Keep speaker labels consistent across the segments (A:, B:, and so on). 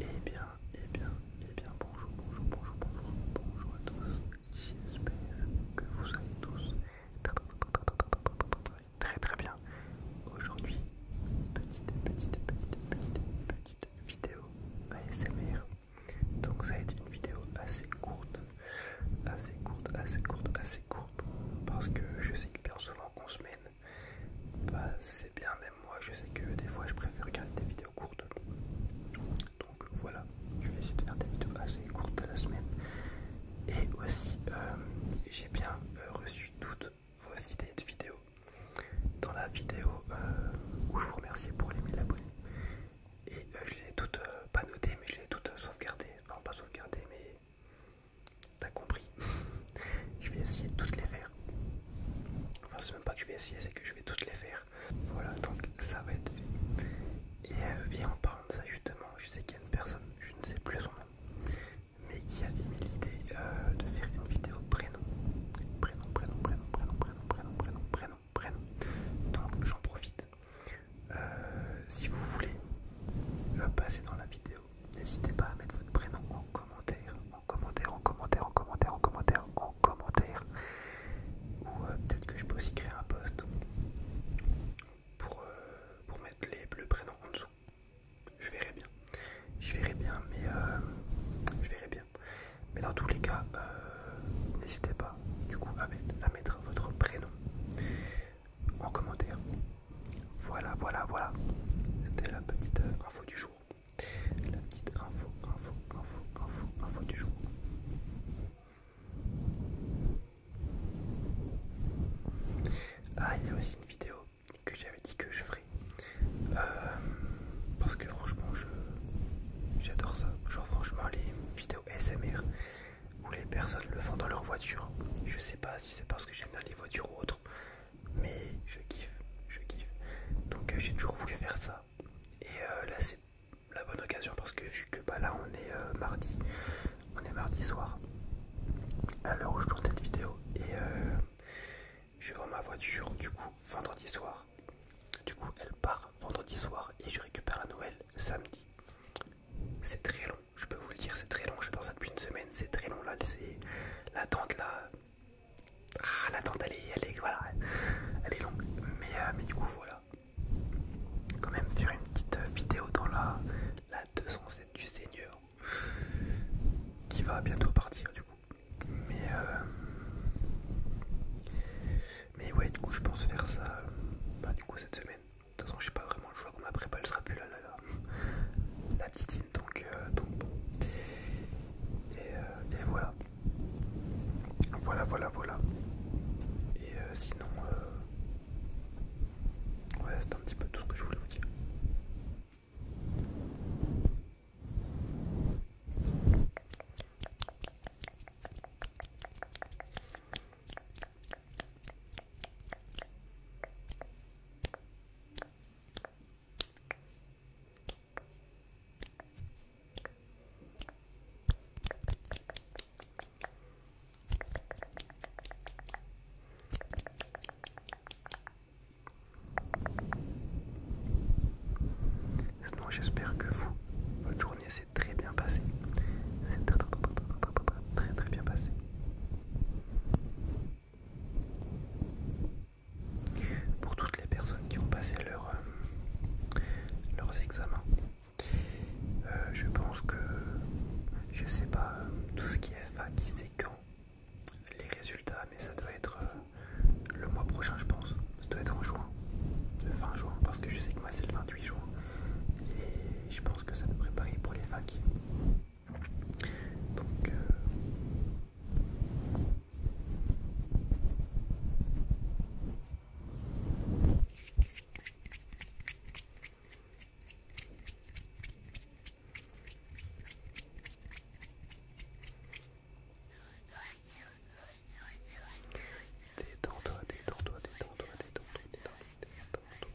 A: Eh bien, eh bien, eh bien, bonjour, bonjour, bonjour, bonjour, bonjour à tous. J'espère que vous allez tous très très bien. Aujourd'hui, petite, petite, petite, petite, petite vidéo ASMR. Donc ça va être une vidéo assez courte, assez courte, assez courte, assez courte, parce que je sais que bien souvent on se met bah c'est bien, même moi je sais que des fois je préfère regarder des vidéos courtes. Donc voilà, je vais essayer de faire des vidéos assez courtes la semaine. Et aussi, euh, j'ai bien euh, reçu toutes vos idées de vidéos dans la vidéo euh, où je vous remercie pour les 1000 abonnés. Et je les ai toutes, pas notées, mais je les ai toutes sauvegardées. Non, pas sauvegardées, mais T'as compris Je vais essayer de toutes les faire. Enfin, c'est même pas que je vais essayer, c'est que je vais toutes les faire. Voilà, donc ça va être fait. Et, bien euh, en parlant de ça, justement, je sais qu'il y a une personne, je ne sais plus son nom, mais qui a mis l'idée euh, de faire une vidéo prénom. Prénom, prénom, prénom, prénom, prénom, prénom, prénom, prénom, prénom. Donc j'en profite. Euh, si vous voulez va passer dans la vidéo N'hésitez pas à mettre votre prénom en commentaire, en commentaire, en commentaire, en commentaire, en commentaire, en commentaire. Ou euh, peut-être que je peux aussi créer un post pour, euh, mettre les, le prénom en dessous. Je verrai bien. Je verrai bien, mais euh, je verrai bien. Mais dans tous les cas, n'hésitez pas du coup à mettre, à mettre votre prénom en commentaire. Voilà, voilà, voilà. C'était la petite info du jour. La petite info, info, info, info, info du jour. Ah, il y a aussi une vidéo que j'avais dit que je ferais. Euh, parce que franchement, j'adore ça. Genre, franchement, les vidéos SMR où les personnes le font dans leur voiture. Je sais pas si c'est parce que j'aime bien les voitures ou autre mais je kiffe, je kiffe. Donc euh, j'ai toujours voulu faire ça. Et euh, là c'est la bonne occasion parce que vu que bah, là on est euh, mardi, on est mardi soir, à l'heure où je tourne cette vidéo, et je vends ma voiture du coup vendredi soir. Du coup elle part vendredi soir et je récupère la Noël samedi. C'est très long, je peux vous le dire, c'est très long, j'attends ça depuis une semaine, c'est très long là, c'est la tente là, ah, la tente elle est, elle est longue, mais, euh, mais du coup voilà, quand même faire une petite euh, vidéo dans la, la 207 du Seigneur qui va bientôt partir du coup, mais euh, mais ouais du coup je pense faire ça, pas bah, du coup cette semaine. De toute façon, je sais pas vraiment le choix, ma prépa bah, elle sera plus là, là la titine donc, euh, euh, Et, voilà. Voilà voilà voilà. Et euh, sinon ouais c'est un petit peu tout ce que je voulais vous dire. Sinon j'espère que vous, votre journée s'est très bien passée. C'est très très bien passé pour toutes les personnes qui ont passé euh, leurs examens. Euh, je pense que je sais pas euh, tout ce qui est fac, qui c'est quand les résultats, mais ça doit être le mois prochain, je pense. Ça doit être en juin, le 20 juin, parce que je sais que moi c'est le 28 juin, et je pense que ça me préparer pour les facs. Donc, euh, Détends-toi, détends-toi, détends-toi, détends-toi, détends-toi, détends-toi.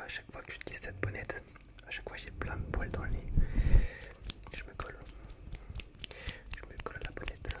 A: à chaque fois que j'utilise cette bonnette, à chaque fois j'ai plein de poils dans le lit Je me colle. Je me colle à la bonnette.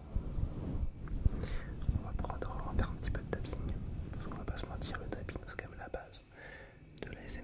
A: On va prendre, faire un petit peu de tapping, parce qu'on va pas se mentir, le tapping c'est quand même la base de la SMR.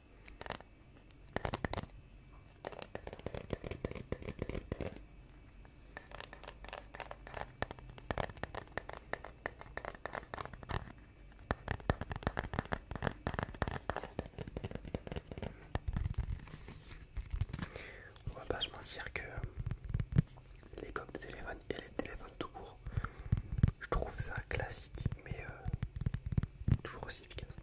A: On va pas se mentir que les coques de téléphone et les téléphones tout court, je trouve ça classique mais euh, toujours aussi efficace.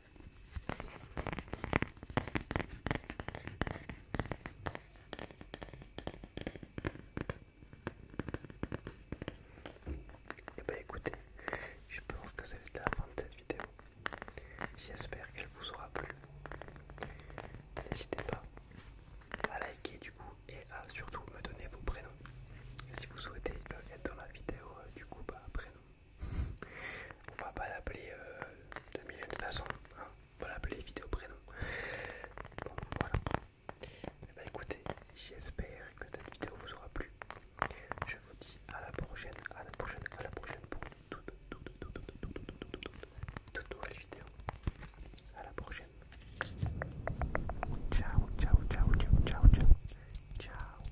A: Et eh bah ben, écoutez, je pense que c'est la fin de cette vidéo. J'espère qu'elle vous aura plu. N'hésitez pas à liker du coup et à surtout me donner vos prénoms. Si vous souhaitez être dans la vidéo euh, du coup bah, prénoms. prénom. On va pas l'appeler euh, de mille de façons. Hein. On va l'appeler vidéo prénom. Bon, voilà. Eh bah écoutez, j'espère que cette vidéo vous aura plu. Je vous dis à la prochaine, à la prochaine, à la prochaine pour toute, nouvelle vidéo. À la prochaine. Ciao, ciao, ciao, ciao, ciao, ciao. Ciao.